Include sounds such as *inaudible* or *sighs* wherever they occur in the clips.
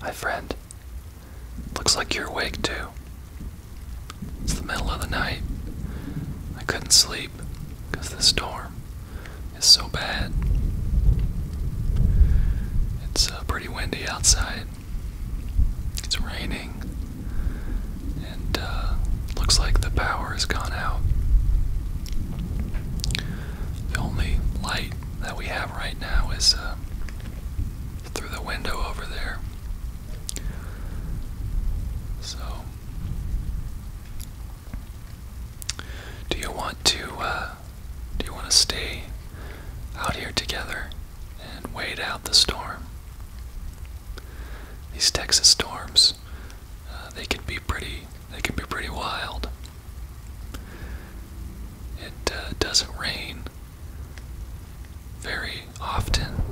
Hi, friend. Looks like you're awake too. It's the middle of the night. I couldn't sleep because the storm is so bad. It's uh, pretty windy outside. It's raining. And uh, looks like the power has gone out. The only light that we have right now is. Uh, um, through the window over there. So, do you want to uh, do you want to stay out here together and wait out the storm? These Texas storms, uh, they can be pretty. They can be pretty wild. It uh, doesn't rain very often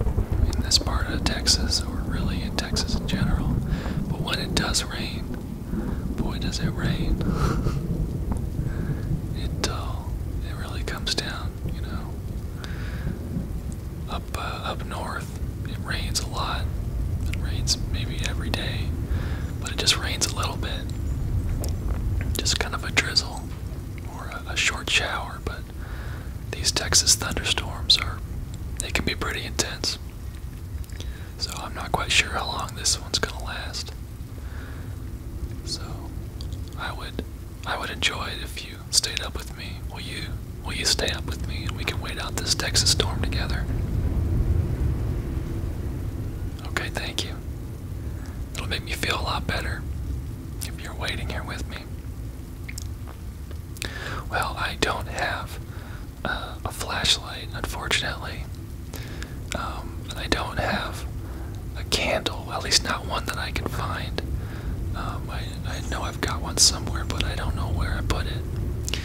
in this part of Texas, or really in Texas in general, but when it does rain, boy does it rain. *laughs* it uh, it really comes down, you know. Up uh, up north, it rains a lot. It rains maybe every day, but it just rains a little bit, just kind of a drizzle or a, short shower, but these Texas thunderstorms are, they can be pretty intense. So I'm not quite sure how long this one's gonna last. So I would I would enjoy it if you stayed up with me. Will you will you stay up with me and we can wait out this Texas storm together? Okay, thank you. It'll make me feel a lot better if you're waiting here with me. Well, I don't have uh, a flashlight, unfortunately. and um, I don't have a candle, at least not one that I can find. Um, I know I've got one somewhere, but I don't know where I put it.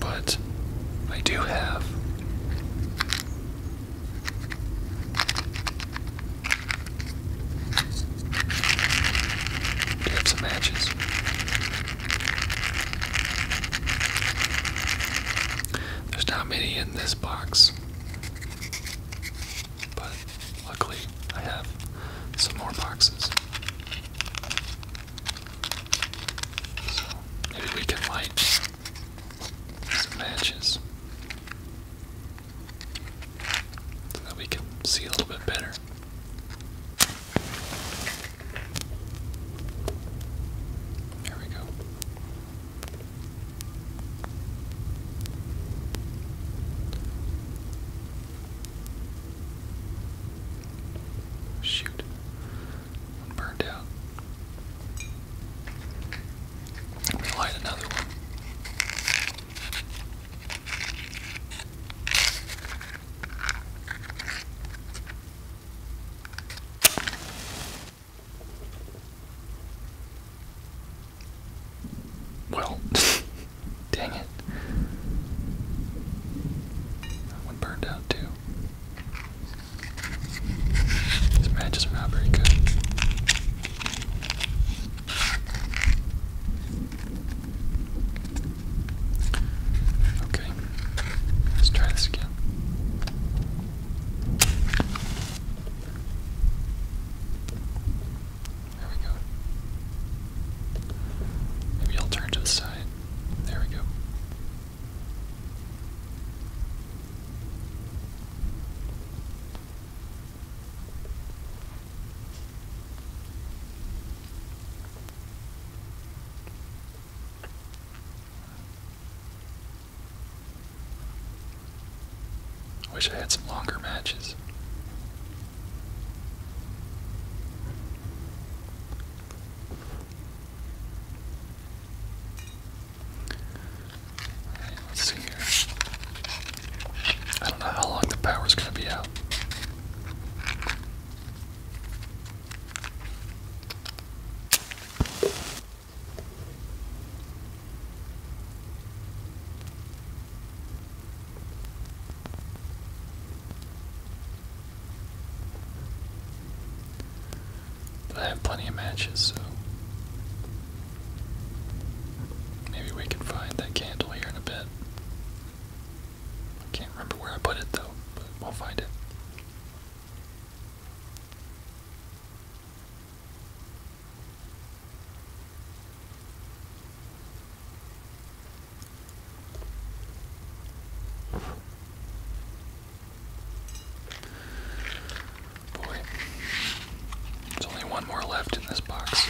But I do have do some matches? There's not many in this box, but luckily I have some more boxes. So maybe we can light some matches so that we can see a little bit better. There we go. Shoot burned out. I'm light another one. Well, *laughs* dang it. That one burned out too. These matches are not very good. Okay, let's try this again. There we go. Maybe I'll turn to the side. There we go. Wish I had some longer matches. Let's see here. I don't know how long the power's going to be out. I have plenty of matches, so maybe we can find that candle here in a bit. I can't remember where I put it though, but we'll find it. Boy, there's only one more left in this box.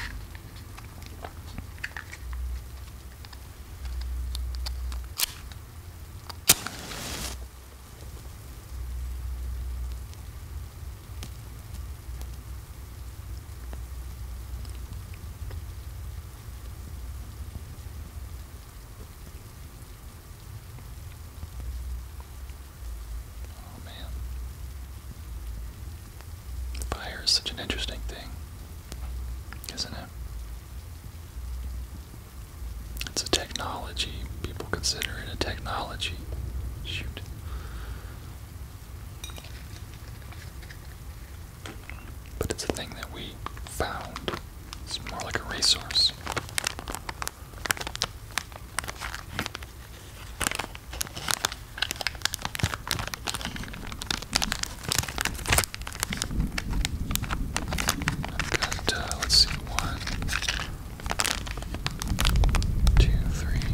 Oh man. Fire is such an interesting thing, isn't it? It's a technology. People consider it a technology. Shoot. But it's a thing that we found. It's more like a resource. i got, uh, let's see, one, two, three,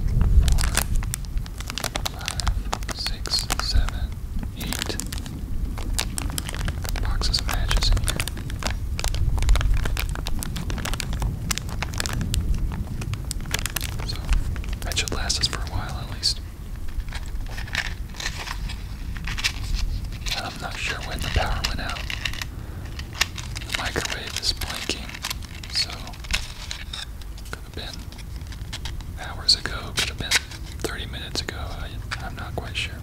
four, five, six, seven, eight boxes of matches in here. So that should last us for a while at least. I'm not sure when the power went out. The microwave is blinking, so could have been hours ago, could have been 30 minutes ago. I, am not quite sure.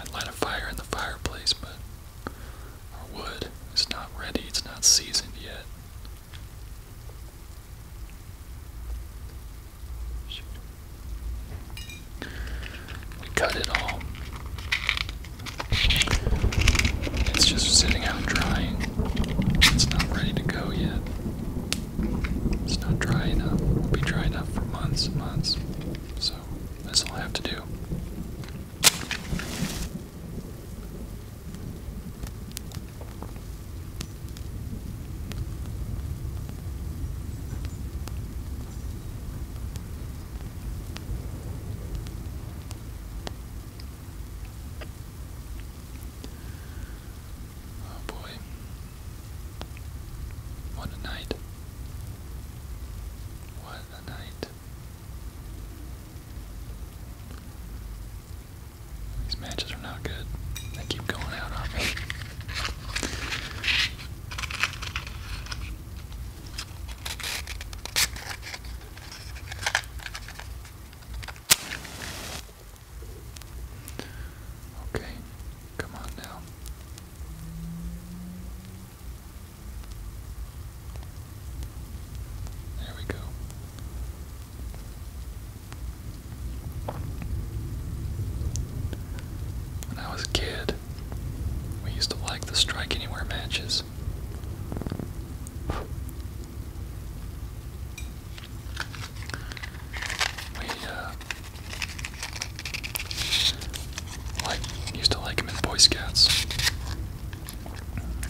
I'd light a fire in the fireplace, but our wood is not ready, it's not seasoned yet. We cut it all. It's just sitting out drying. It's not ready to go yet. It's not dry enough. It'll be dry enough for months and months so that's all I have to do. Oh boy. What a night. What a night. These matches are not good. They keep going out on me. Okay, come on now. There we go. When I was a kid, we used to like the strike anywhere matches. We uh, like, used to like him in Boy Scouts.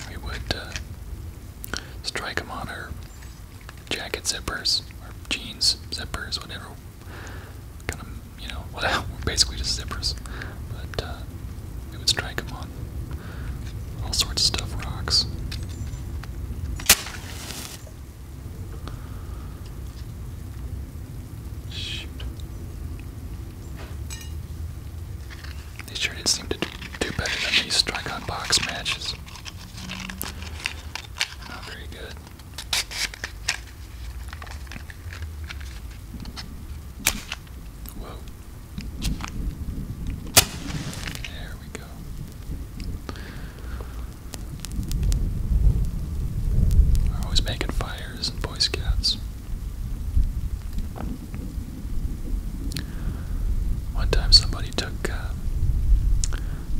We would uh, strike him on her jacket zippers, or jeans zippers, whatever. Kind of, you know, whatever. *laughs* Basically just zippers. But uh, we would strike him on all sorts of stuff, rocks. Shoot. They sure did seem to do better than these strike on box matches. Not very good. Whoa. There we go. We're always making fires and Boy Scouts. One time somebody took uh,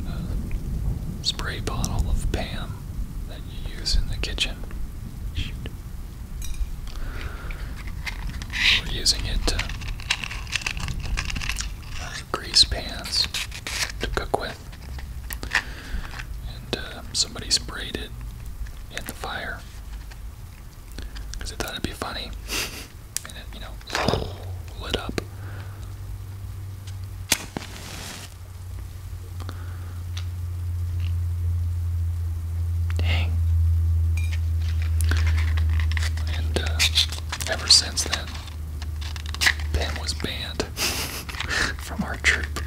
a spray bottle of PAM that you use in the kitchen. We're using it to uh, grease pans to cook with. And uh, somebody sprayed it in the fire because they thought it'd be funny. And it, you know, lit up. Dang. And uh, ever since then, Pam was banned *laughs* from our troop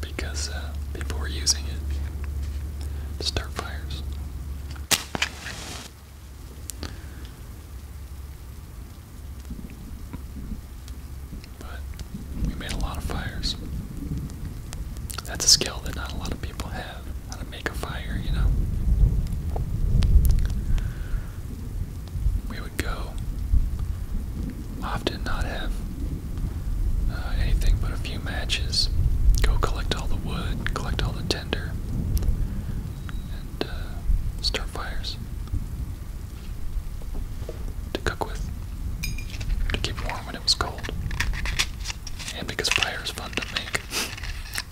because uh, people were using it to start fires. But we made a lot of fires. That's a skill that not a lot of people have. How to make a fire, you know? we would go often not have uh, anything but a few matches, go collect all the wood, collect all the tinder, and uh, start fires to cook with, to keep warm when it was cold. And because fire is fun to make, *laughs*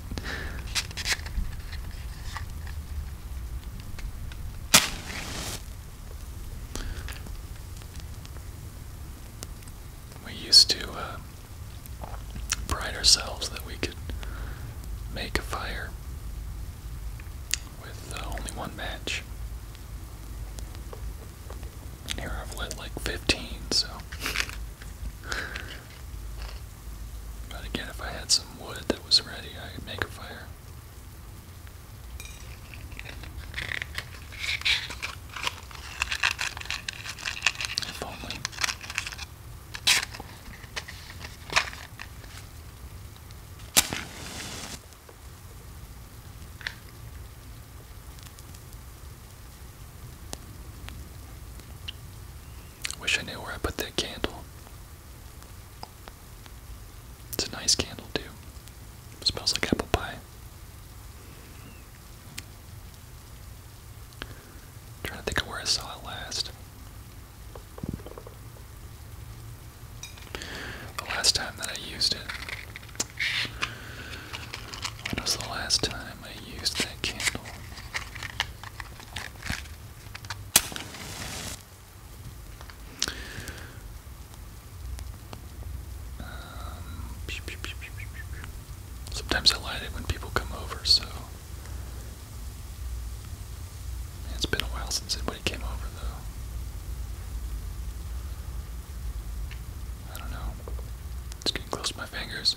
We used to uh, pride ourselves that we could make a fire with uh, only one match. here I've lit like 15, so but again, if I had some wood that was ready, I could make a fire. If only. Wish I knew where I put that candle. It's a nice candle, too. smells like apple pie. trying to think of where I saw it last. The last time that I used it. When was the last time I used that candle? Um, sometimes I light it when people come over, so. It's been a while since anybody came over, though. I don't know. It's getting close to my fingers.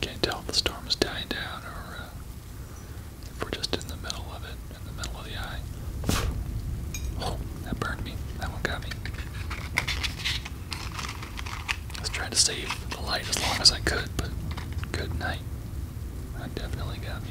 Can't tell if the storm is dying down or uh, if we're just in the middle of it, in the middle of the eye. Oh, that burned me. That one got me. was trying to save the light as long as I could, but good night. That definitely got me.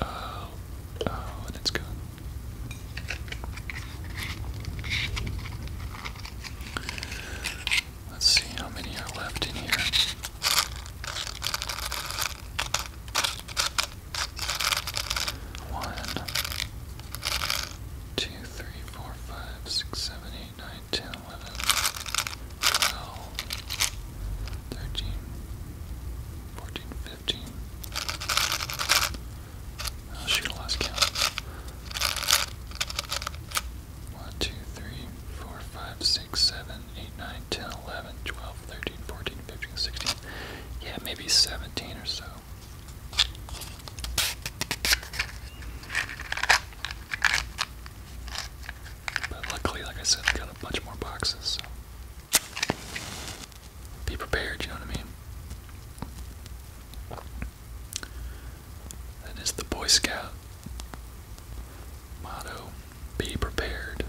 Oh, oh, and it's gone. Let's see how many are left in here. One, two, three, four, five, six, seven, eight, nine, ten, eleven, twelve, thirteen, fourteen, fifteen. I should have lost count. 1, 2, 3, 4, 5, 6, 7, 8, 9, 10, 11, 12, 13, 14, 15, 16. Yeah, maybe 17 or so. But luckily, like I said, I got a bunch more boxes, so be prepared, you know what I mean? That is the Boy Scout motto be prepared.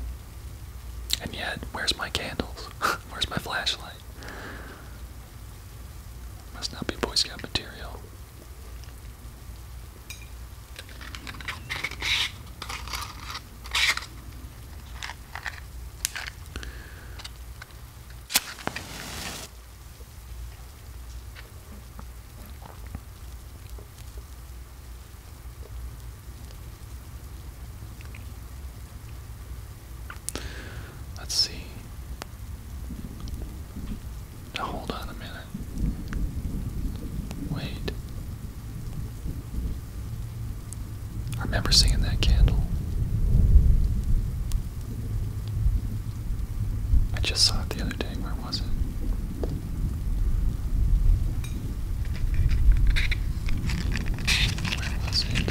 And yet, where's my candles? *laughs* where's my flashlight? Must not be Boy Scout material. Let's see. Now hold on a minute. Wait. I remember seeing that candle. I just saw it the other day. Where was it? Where was it?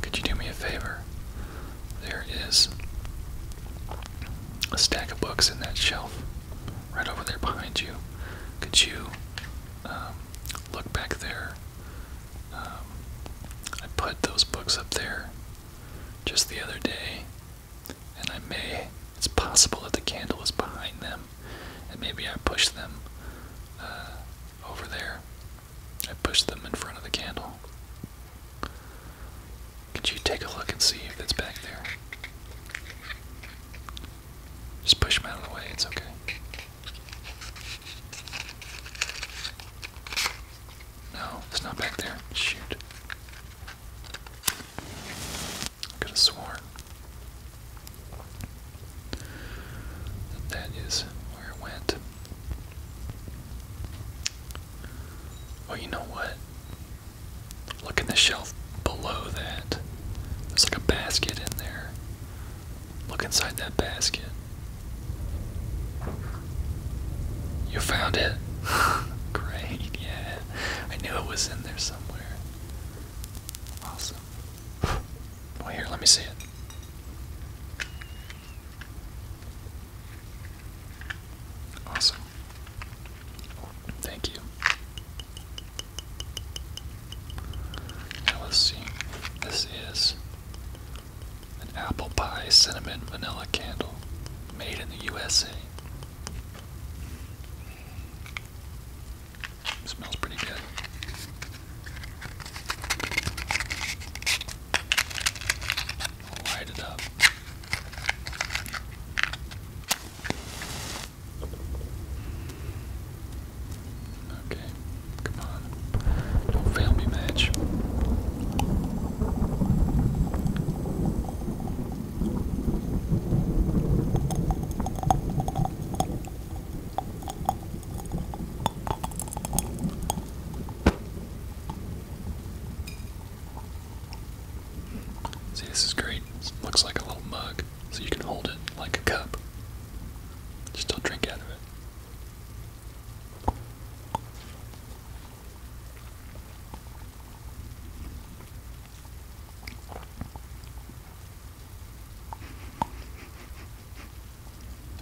Could you do me a favor? There is a stack of books in that shelf right over there behind you. Could you um, look back there? Um, I put those books up there just the other day, and I may, it's possible that the candle is behind them and maybe I push them uh, over there. I push them in front of the candle. Could you take a look and see if it's back there? Just push them out of the way, it's okay. No, it's not back there. Shoot. Could have sworn that that is where it went. Well, you know what? Look in the shelf below that. There's like a basket in there. Look inside that basket. You found it? *laughs* Great, yeah. I knew it was in there somewhere. Awesome. Well, here, let me see it. Awesome. Thank you. Now let's see. This is an apple pie cinnamon vanilla candle made in the USA smells pretty good. light it up. Okay, come on. Don't fail me, match. See, this is great. looks like a little mug, so you can hold it like a cup. Just don't drink out of it.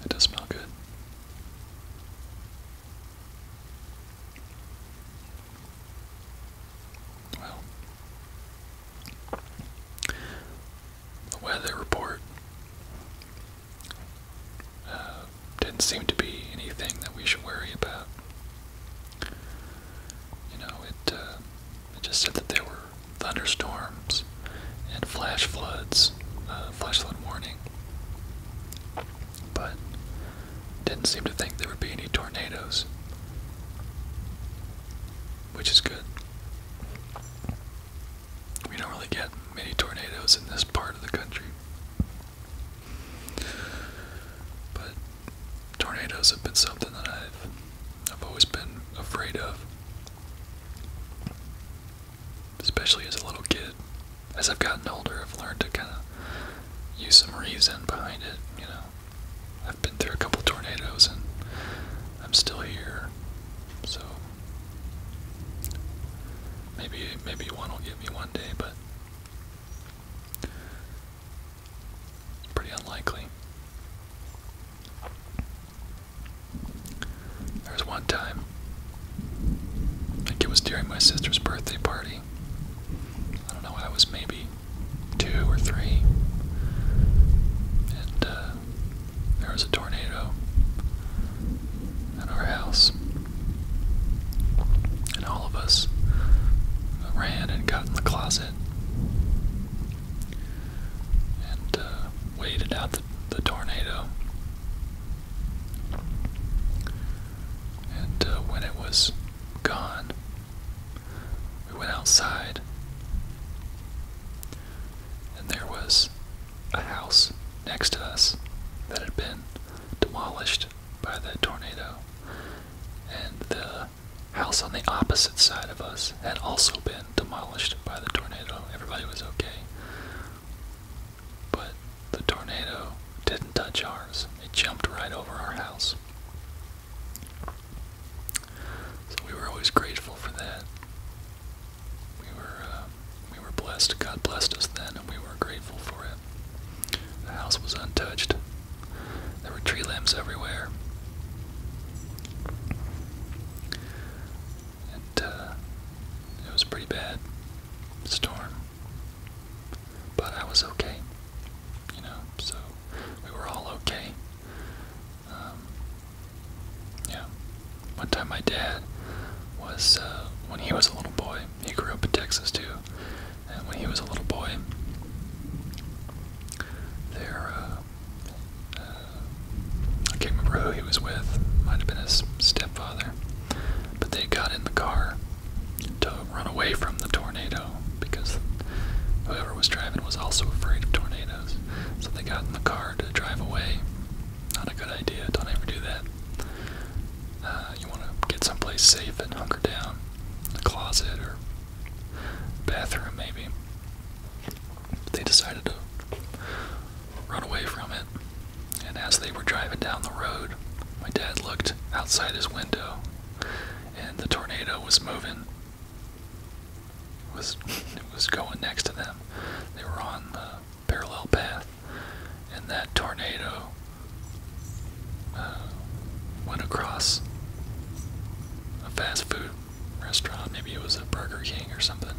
It does smell good. Well, the weather report uh, didn't seem to be anything that we should worry about you know, it, uh, it just said that there were thunderstorms and flash floods, uh, flash flood warning. But didn't seem to think there would be any tornadoes, which is good. We don't really get many tornadoes in this part of the country. But tornadoes have been something that I've I've always been afraid of. Especially as a little kid. As I've gotten older, I've learned to kind of use some reason behind it, you know. I've been through a couple tornadoes and I'm still here. So maybe maybe one will get me one day, but Pretty unlikely. There was one time, I think it was during my sister's birthday party. I don't know, I was maybe two or three. And uh, there was a tornado in our house. And all of us ran and got in the closet and uh, waited out the, tornado. And uh, when it was gone, we went outside, and there was a house next to us that had been demolished by the tornado and the house on the opposite side of us had also been demolished by the tornado. Everybody was okay. But the tornado didn't touch ours, it jumped right over our house. So we were always grateful for that. We were, uh, we were blessed. God blessed us then, and we were grateful for it. The house was untouched. There were tree limbs everywhere. It, uh, it was pretty bad storm. But I was okay. You know, so we were all okay. Um, yeah. One time my dad was, uh, when he was a little boy, he grew up in Texas too. And when he was a little boy, there, uh, uh, I can't remember who he was with, might have been his stepfather, but they got in the car to run away from the tornado because whoever was driving was also afraid of tornadoes. So they got in the car to drive away. Not a good idea, don't ever do that. Uh, you want to get someplace safe and hunker down, a closet or bathroom maybe. They decided to run away from it, and as they were driving down the road, my dad looked outside his window, and the tornado was moving. was it was going next to them? They were on the parallel path, and that tornado uh, *sighs* went across a fast food restaurant. Maybe it was a Burger King or something.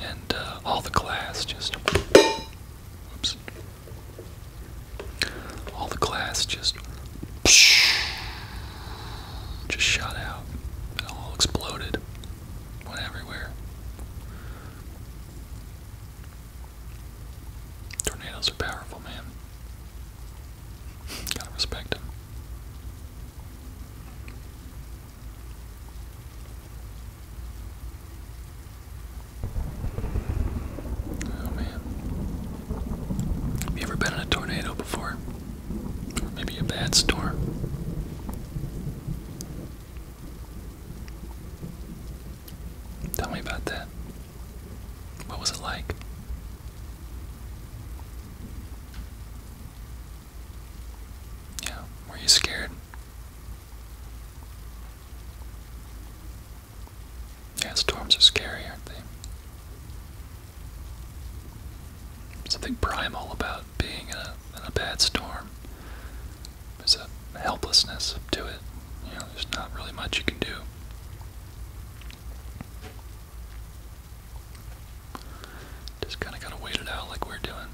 And uh, all the glass just. Oops. All the glass just. *sniffs* Just shot out. all exploded. Went everywhere. Tornadoes are powerful, man. Gotta respect them. Oh man. Have you ever been in a tornado before? Or maybe a bad storm? Tell me about that. What was it like? Yeah, were you scared? Yeah, storms are scary, aren't they? Something primal about being a, in a bad storm there's a helplessness to it. You know, there's not really much you can do. Just kind of gotta wait it out like we're doing.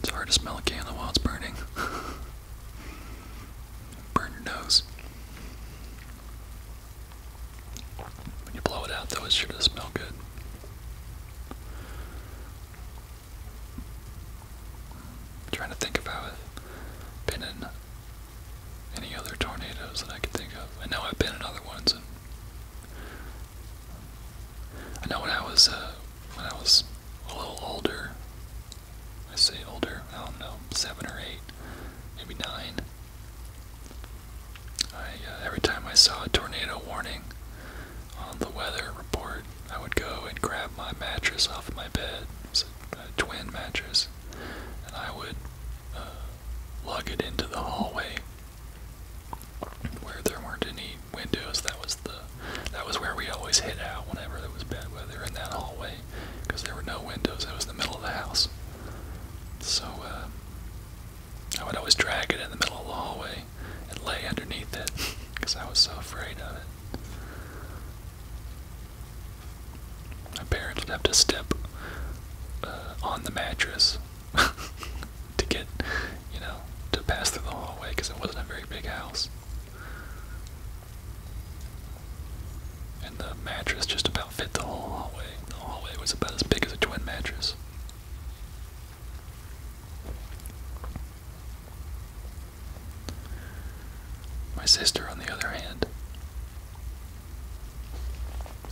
It's hard to smell a candle while it's burning. *laughs* Burn your nose. When you blow it out, though, it sure smell good. trying to think about it. Been in any other tornadoes that I could think of. I know I've been in other ones, I know when I was uh, when I was a little older. I say older. I don't know, seven or eight, maybe nine. I, uh, every time I saw a tornado warning on the weather report, I would go and grab my mattress off of my bed. It was a, a twin mattress, and I would uh, lug it into the hallway where there weren't any windows. That was the that was where we always hid out whenever there was bad weather in that hallway, because there were no windows. It was the middle of the house. So uh, I would always drag it in the middle of the hallway and lay underneath it because *laughs* I was so afraid of it. My parents would have to step uh, on the mattress *laughs* to get, you know, to pass through the hallway because it wasn't a very big house. And the mattress just about fit the whole hallway. The hallway was about as big as a twin mattress. My sister, on the other hand,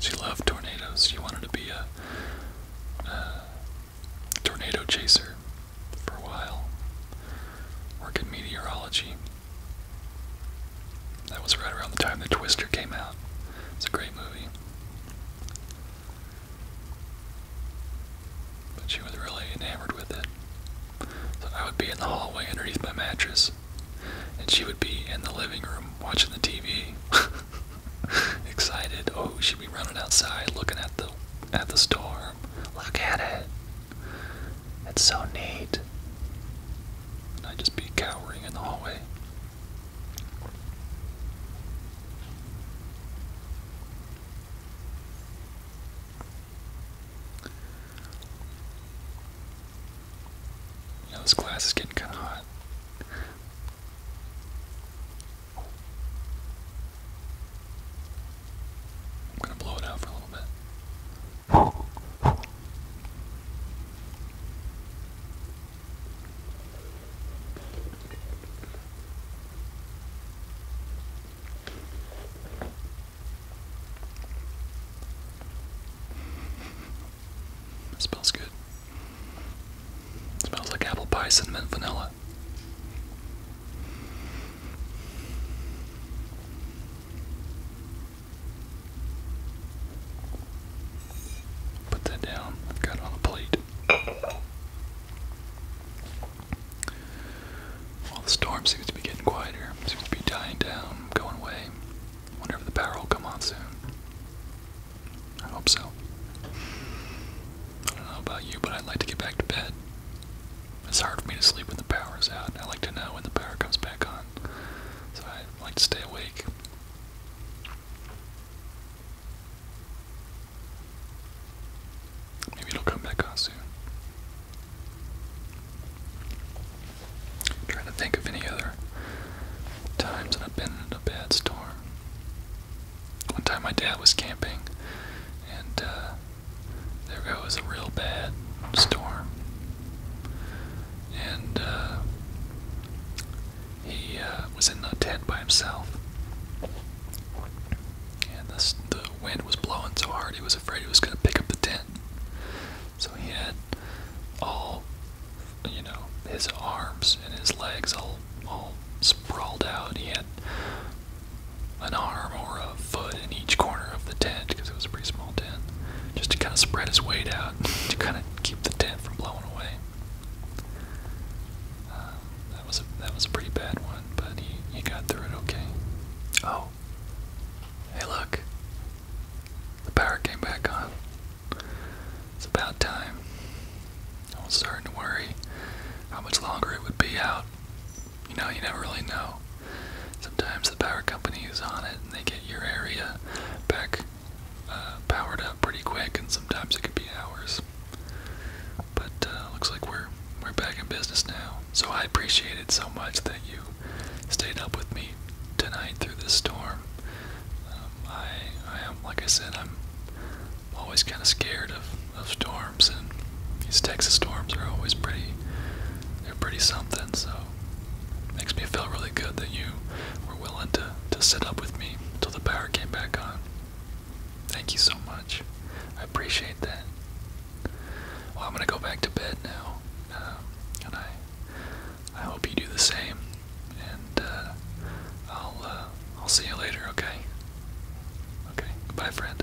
she loved tornadoes. She wanted to be a, tornado chaser for a while, work in meteorology. That was right around the time the Twister came out. It's a great movie. But she was really enamored with it. So I would be in the hallway underneath my mattress, and she would be in the living room watching the TV. *laughs* Excited. Oh, she'd be running outside looking at the at the storm. Look at it. It's so neat. I'd just be cowering in the hallway. You this glass is getting kind of hot. I'm going to blow it out for a little bit. Smells good. Smells like apple pie, cinnamon, vanilla. Put that down. I've got on a plate. Well, the storm seems to be getting quieter. Seems to be dying down, going away. Wonder if the power will come on soon. I hope so. I don't know about you, but I'd like to get back to bed. It's hard for me to sleep when the power is out. I like to know when the power comes back on. So I like to stay awake. Maybe it'll come back on soon. trying to think of any other times I've been in a bad storm. One time my dad was camping and uh, there goes a real bad storm, and uh, he uh, was in a tent by himself. And this, the wind was blowing so hard he was afraid he was going to pick up the tent. So he had all, you know, his arms and his legs all all sprawled out. He had an arm or a foot in each corner of the tent because it was a pretty small tent, just to kind of spread his weight out to kind of keep the tent from blowing away. Uh, that was a that was a pretty bad one, but he he got through it okay. Oh, hey look, the power came back on. It's about time. I was starting to worry how much longer it would be out you know, you never really know. Sometimes the power company is on it and they get your area back uh, powered up pretty quick, and sometimes it could be hours. But uh, looks like we're we're back in business now. So I appreciate it so much that you stayed up with me tonight through this storm. Um, I I am like I said I'm always kind of scared of of storms and these Texas storms are always pretty, they're pretty something, so makes me feel really good that you were willing to, to sit up with me until the power came back on. Thank you so much. I appreciate that. Well, I'm gonna go back to bed now, um, and I I hope you do the same. And uh, I'll uh, I'll see you later. Okay. Okay. Goodbye, friend.